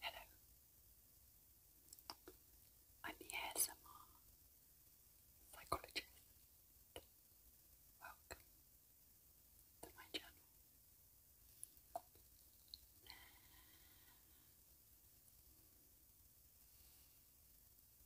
Hello, I'm the ASMR psychologist. Welcome to my channel.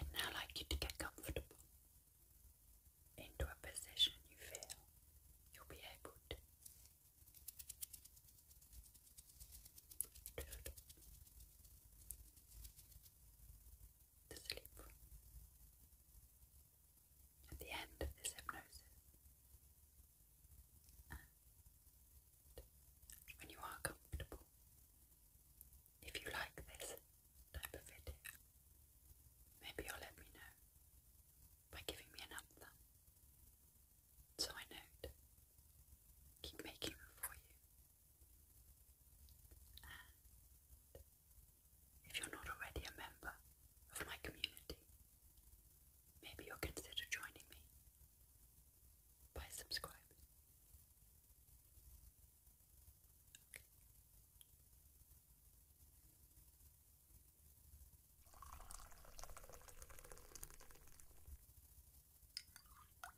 I'd now like you to get comfortable into a position you feel you'll be able to to sleep At the end of this hypnosis, when you are comfortable, if you like this type of video, maybe you'll let me know by giving me an up thumb. So I know to keep making them for you if you're not already a member of my community, maybe you'll consider joining me by subscribing.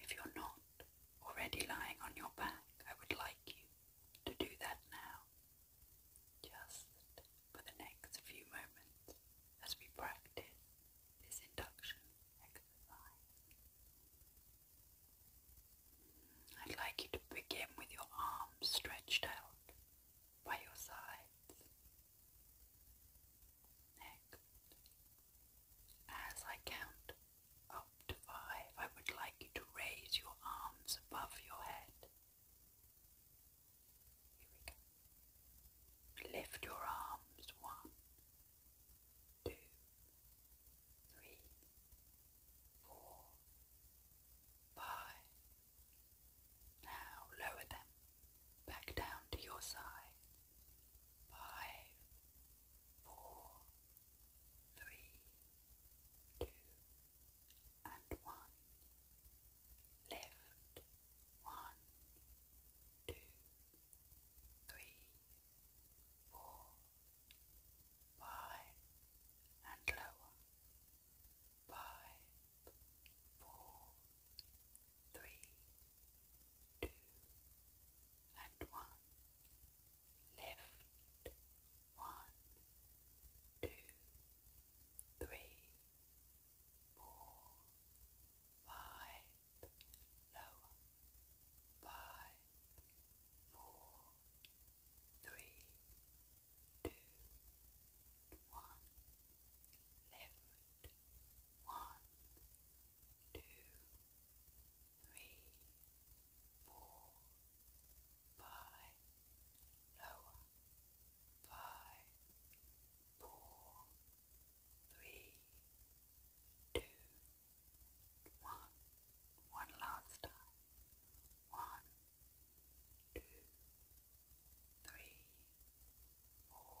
if you're not already lying on your back, I would like you to do that now, just for the next few moments as we practice this induction exercise. I'd like you to begin with your arms stretched out by your sides. Next, as I count up to five, I would like you to raise your arms above your head. Here we go. Lift your arms. One, two, three, four, five. Now lower them back down to your sides. Five, four, three, two, and one. Lift. One, two, three, four, five, and lower. Five, four, three, two, and one. Lift, one, two, three, four, five, lower, five, four, three, two, one, left, one, two, three, four, five, lower, five, four, three, two, one, one last time, one, two, three, four,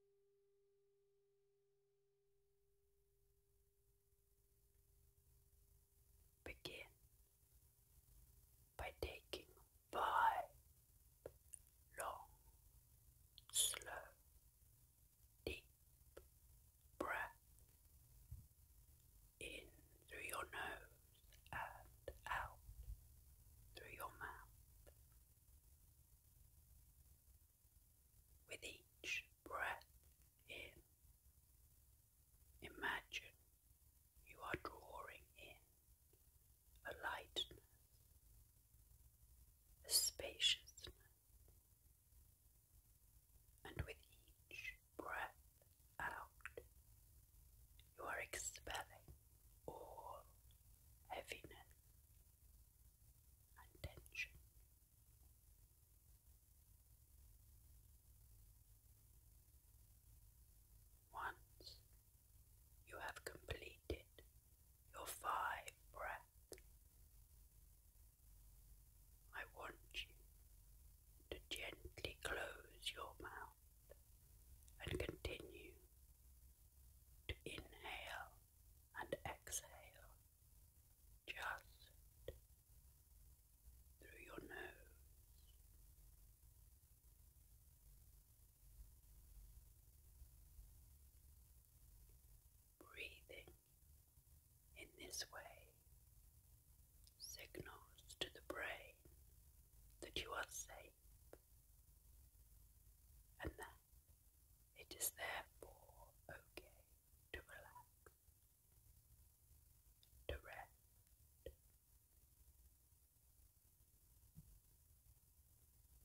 Begin by taking five long, slow, deep breaths in through your nose and out through your mouth. With each breath in, imagine you are drawing in a lightness, a spaciousness, and with each breath out, you are expelling or heaviness and tension. Once you have completed your five breaths, I want you to gently close your mouth and continue to inhale and exhale just through your nose. Breathing in this way signals to the brain that you are safe and that it is therefore okay to relax, to rest.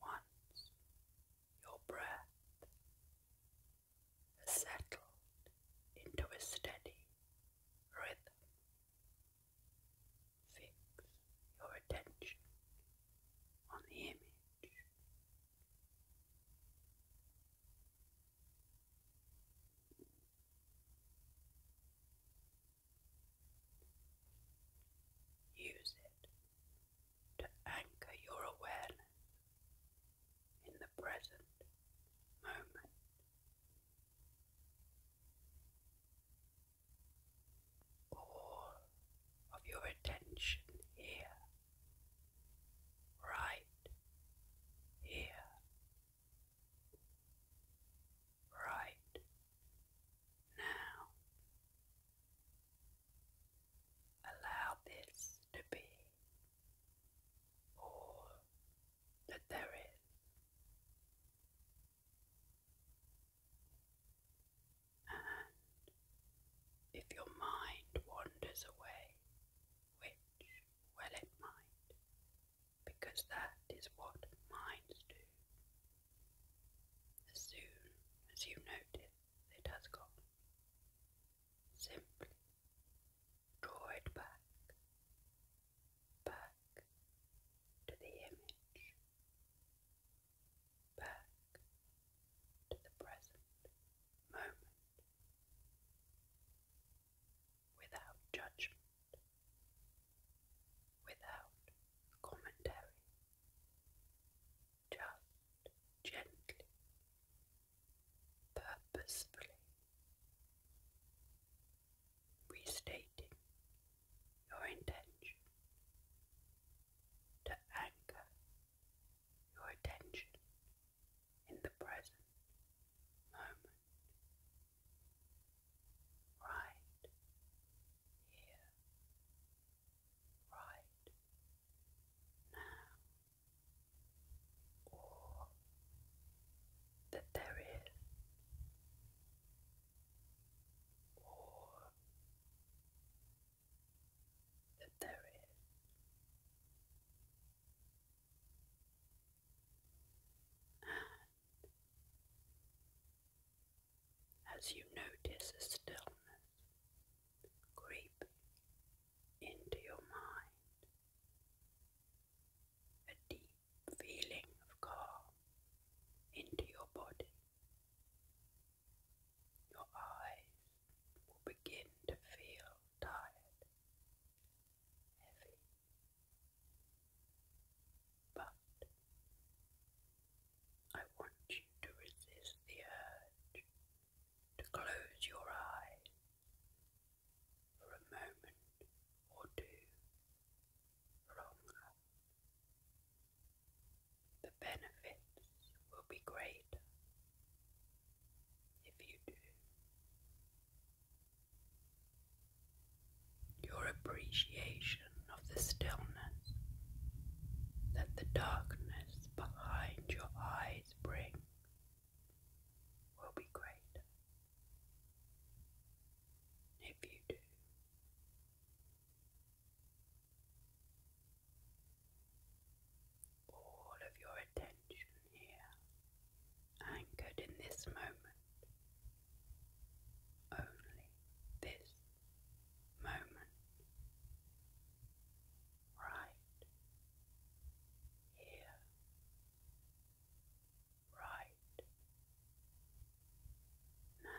Once your breath has into a steady rhythm, Fix your attention on the image. Use it to anchor your awareness in the present moment all of your attention here, right here, right now. Allow this to be all that there is. And if your mind wanders away, which, well, it might, because that is what minds do. As soon as you notice it has gone, simply draw it back, back to the image back to the present moment without judgment, without commentary, just gently, purposefully restating your intention to anchor your attention in the present moment, right here, right now, or that there is, or that there is. And as you notice a stillness creeping into your mind, a deep feeling of calm into your body, your eyes will begin to feel tired, heavy, but I want you to resist the urge to close your eyes for a moment or two longer the benefits will be great if you do. Your appreciation of the stillness that the darkness behind your eyes brings will be great if you do. All of your attention here, anchored in this moment, only this moment, right here, right now.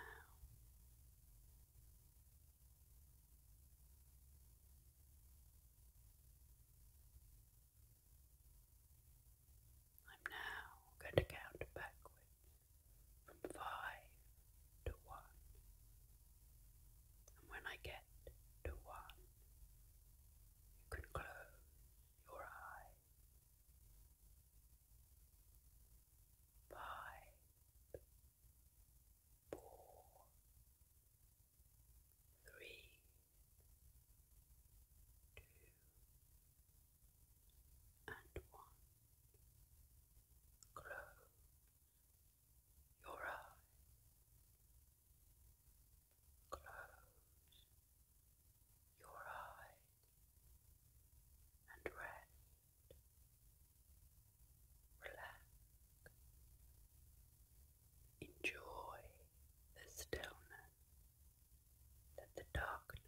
I'm now going to count backwards from five to one. And when I get to one, you can close your eyes. Five, four, three, two, and one. Close your eyes. Close your eyes and rest Relax. Enjoy the stillness that the darkness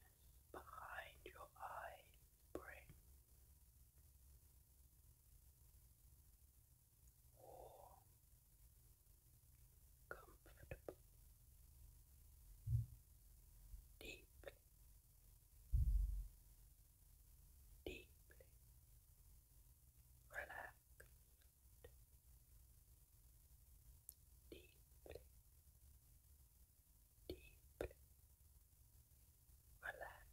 behind your eyes brings. Warm, comfortable, deeply Deep. relaxed, deeply, deeply relaxed, deeply, deeply relaxed.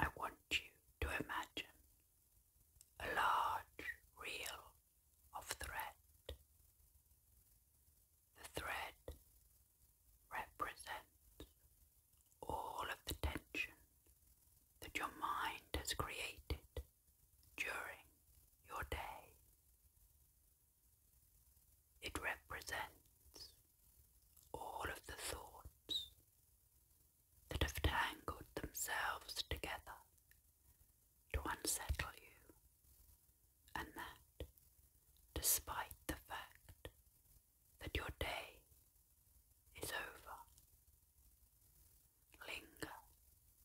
I want you to imagine a large reel of thread. The thread represents all of the tension that your mind has created during your day. It represents all of the thoughts that have tangled themselves together to unsettle you, and that, despite the fact that your day is over, linger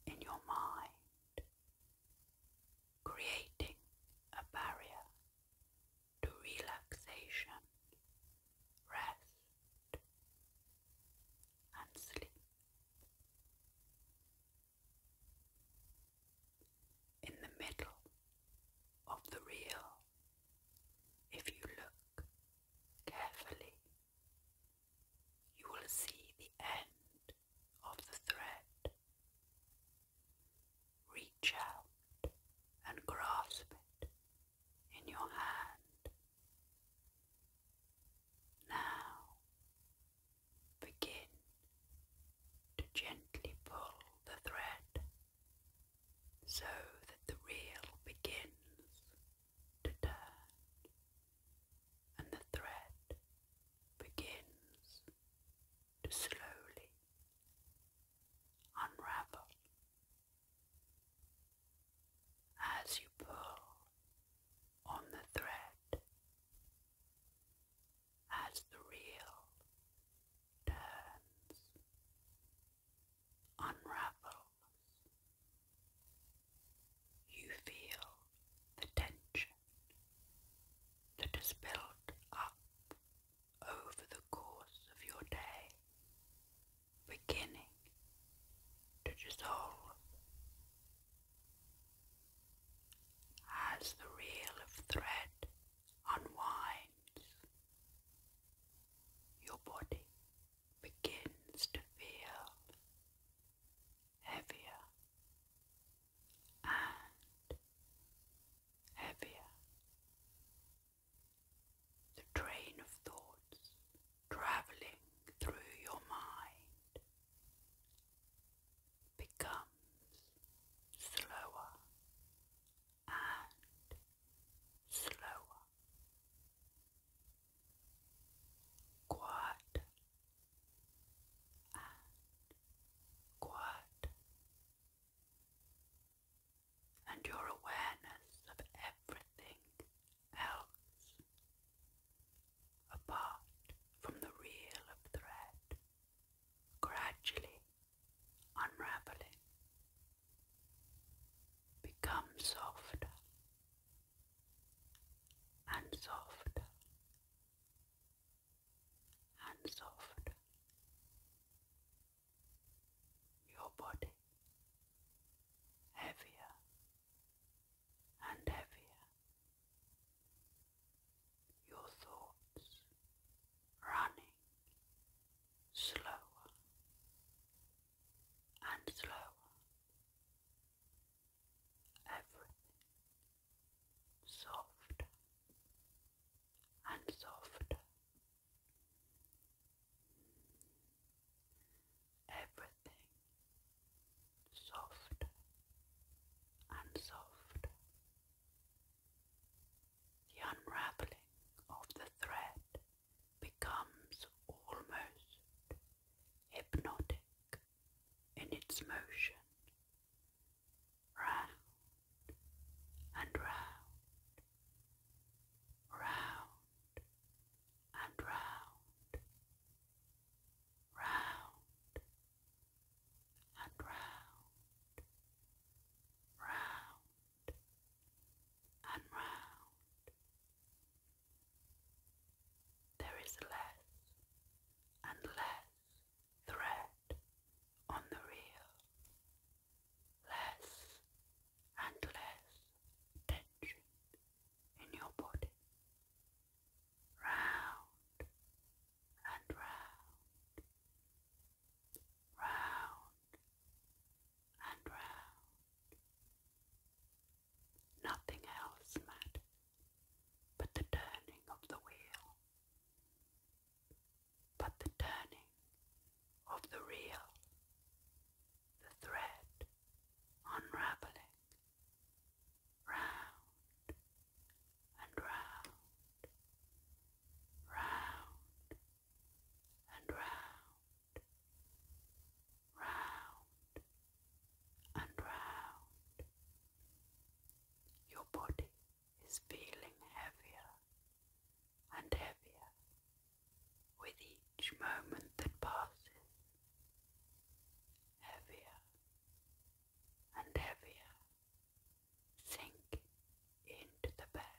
in your mind creating a barrier to relaxation, rest, and sleep. In the middle of the reel, if you look carefully, you will see the end of the thread. Reach out and grasp it in your hand. Now begin to gently pull the thread so that the reel begins to turn and the thread begins to slowly unravel. As you pull on the thread, as the reel turns, unravels, you feel the tension that is built up over the course of your day, beginning to dissolve as the reel of thread unwinds. Your body begins to feel heavier and heavier. The train of thoughts traveling through your mind becomes slower and slower. Quiet and quiet, and your awareness of everything else apart from the reel of thread gradually unraveling. Become softer and softer and soft. Your body heavier and heavier. Your thoughts running slower and slower. Everything soft and soft. Everything soft and soft. The unraveling of the thread becomes almost hypnotic in its motion, round and round, round and round, round and round, round and round. There is less and less thread on the reel, less and less tension in your body, round and round, round and round. Nothing else matters but the turning of the wheel, but the turning of the reel, the thread unraveling round and round, round and round, round and round. Your body is feeling heavier and heavier with each moment that passes. Heavier and heavier sink into the bed.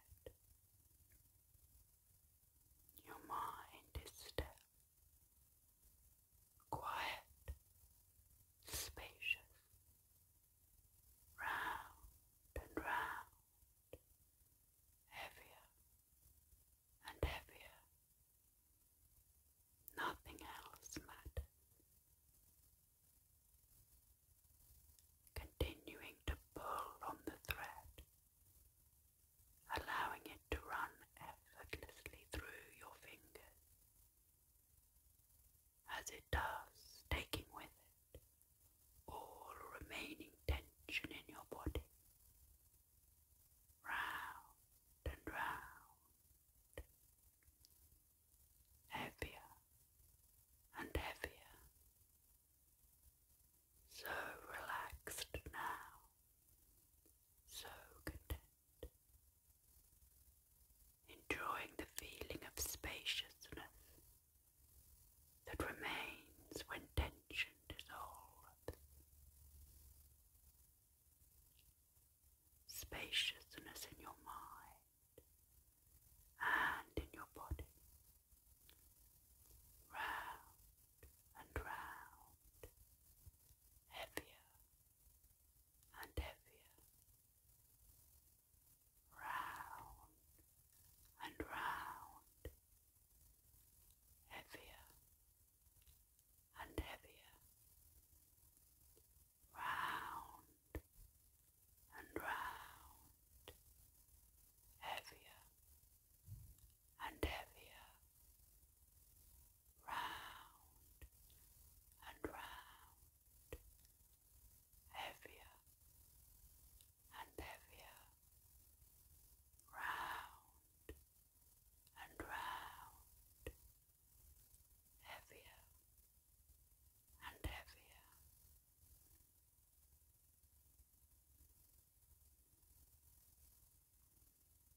Your mind is still quiet, spacious, round and round, heavier and heavier. Nothing else matters. Continuing to pull on the thread, allowing it to run effortlessly through your fingers as it does, taking with it all remaining tension in your body. Round and round, heavier and heavier, so relaxed now, so content enjoying the feeling of spaciousness that remains when tension dissolves. Spaciousness in your mind and in your body. Round and round, heavier and heavier, round and round, heavier and heavier, round and round, heavier and heavier, round and round, heavier and heavier, round and round, heavier and heavier.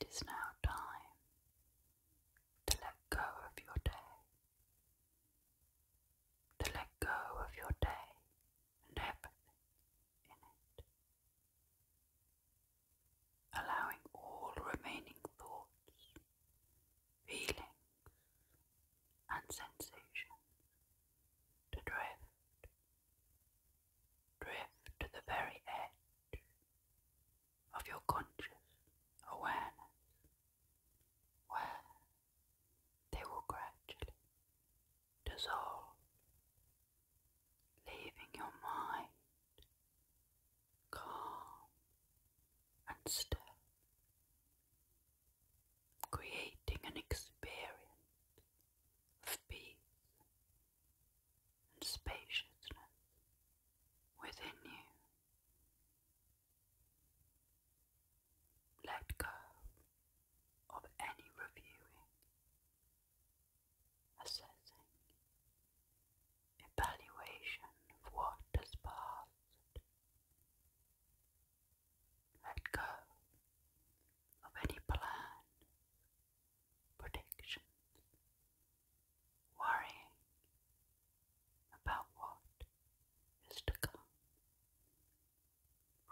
It is now time to let go of your day, to let go of your day and everything in it, allowing all remaining thoughts, feelings, and sensations to drift, drift to the very edge of your conscious awareness, where they will gradually dissolve, leaving your mind calm and still, creating an experience of peace and spaciousness within you. Let go of any reviewing, assessing, evaluation of what has passed. Let go of any plans, predictions, worrying about what is to come.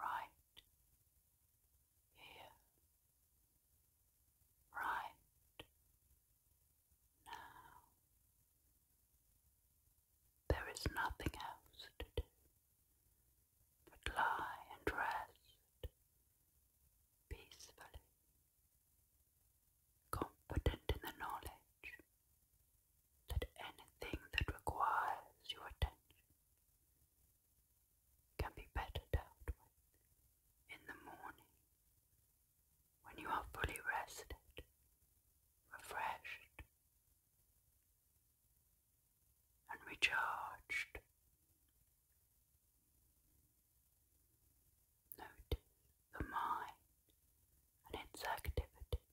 Right here, right now. There is nothing else to do but lie and rest peacefully confident in the knowledge that anything that requires your attention can be better dealt with in the morning when you are fully rested, refreshed, and recharged. Notice the mind and its activity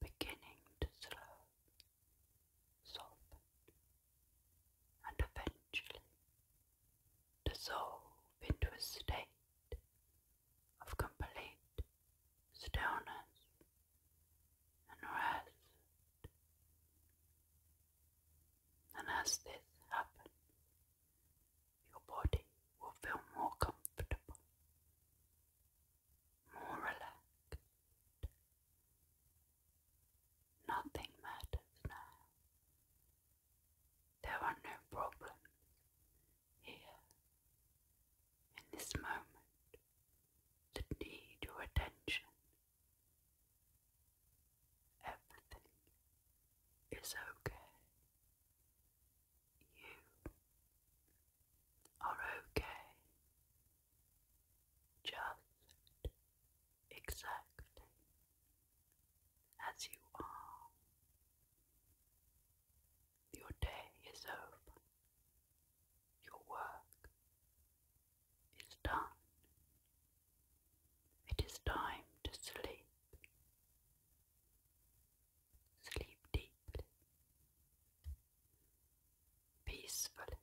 beginning to slow, soften, and eventually dissolve into a state of complete stillness and rest. And as this happens, your body will feel more comfortable, more relaxed. Nothing matters now. There are no problems here in this moment that need your attention. Everything is okay. You are okay, just exactly as you are. Your day is over, your work is done. It is time to sleep. Sleep deeply, peacefully,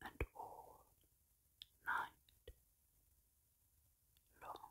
and all night long.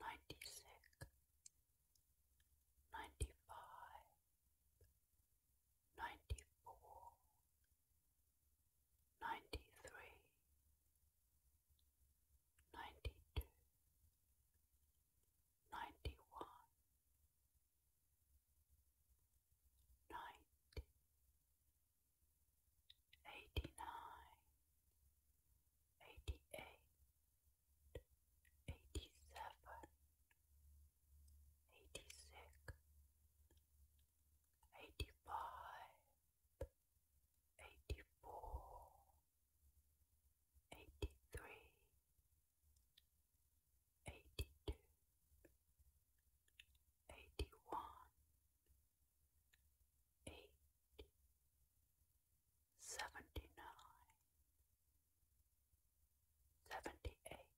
ninety six, ninety five, ninety four, ninety three, ninety two, ninety one, ninety eighty nine, eighty eight, eighty seven, eighty six, eighty five, eighty four, eighty three, eighty two, eighty one. 81 82 83 84 eight, seventy nine, seventy eight,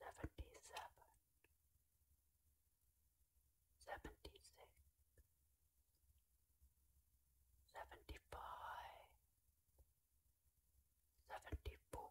seventy seven, seventy six, seventy five, seventy four. 74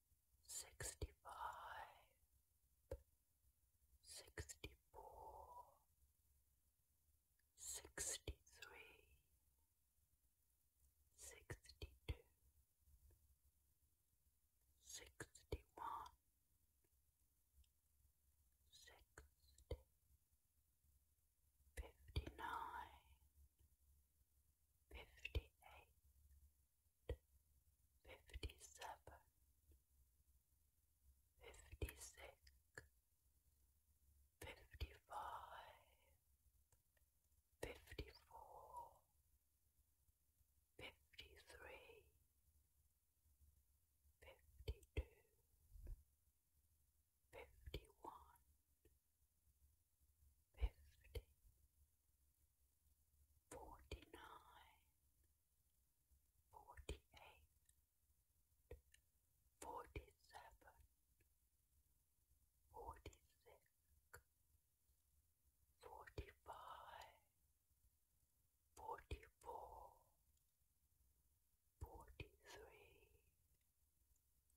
sixty-five, sixty-four, sixty-three, sixty-two, sixty-one, sixty, fifty-nine, fifty-eight fifty seven, fifty six, fifty five, fifty four, fifty three, fifty two, fifty one fifty, forty nine, forty eight, forty seven, forty six, forty five, forty four, forty three.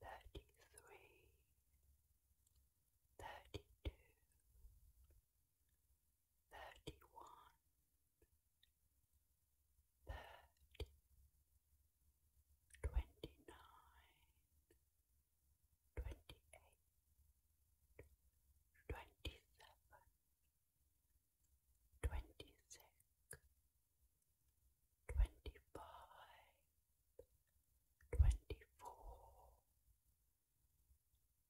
thirty-three, thirty-two, thirty-one, thirty, twenty-nine, twenty-eight, twenty-seven, twenty-six, twenty five, twenty four,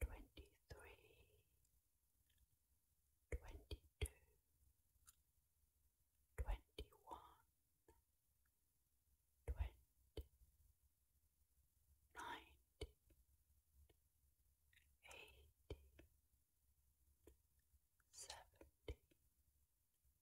twenty three, twenty two, twenty one, twenty, nineteen, eighteen, seventeen.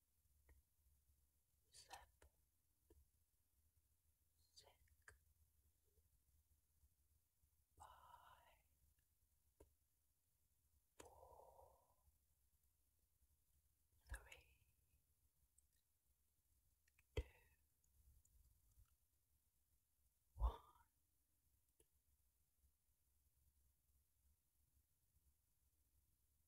seven, six, five, four, three, two, one.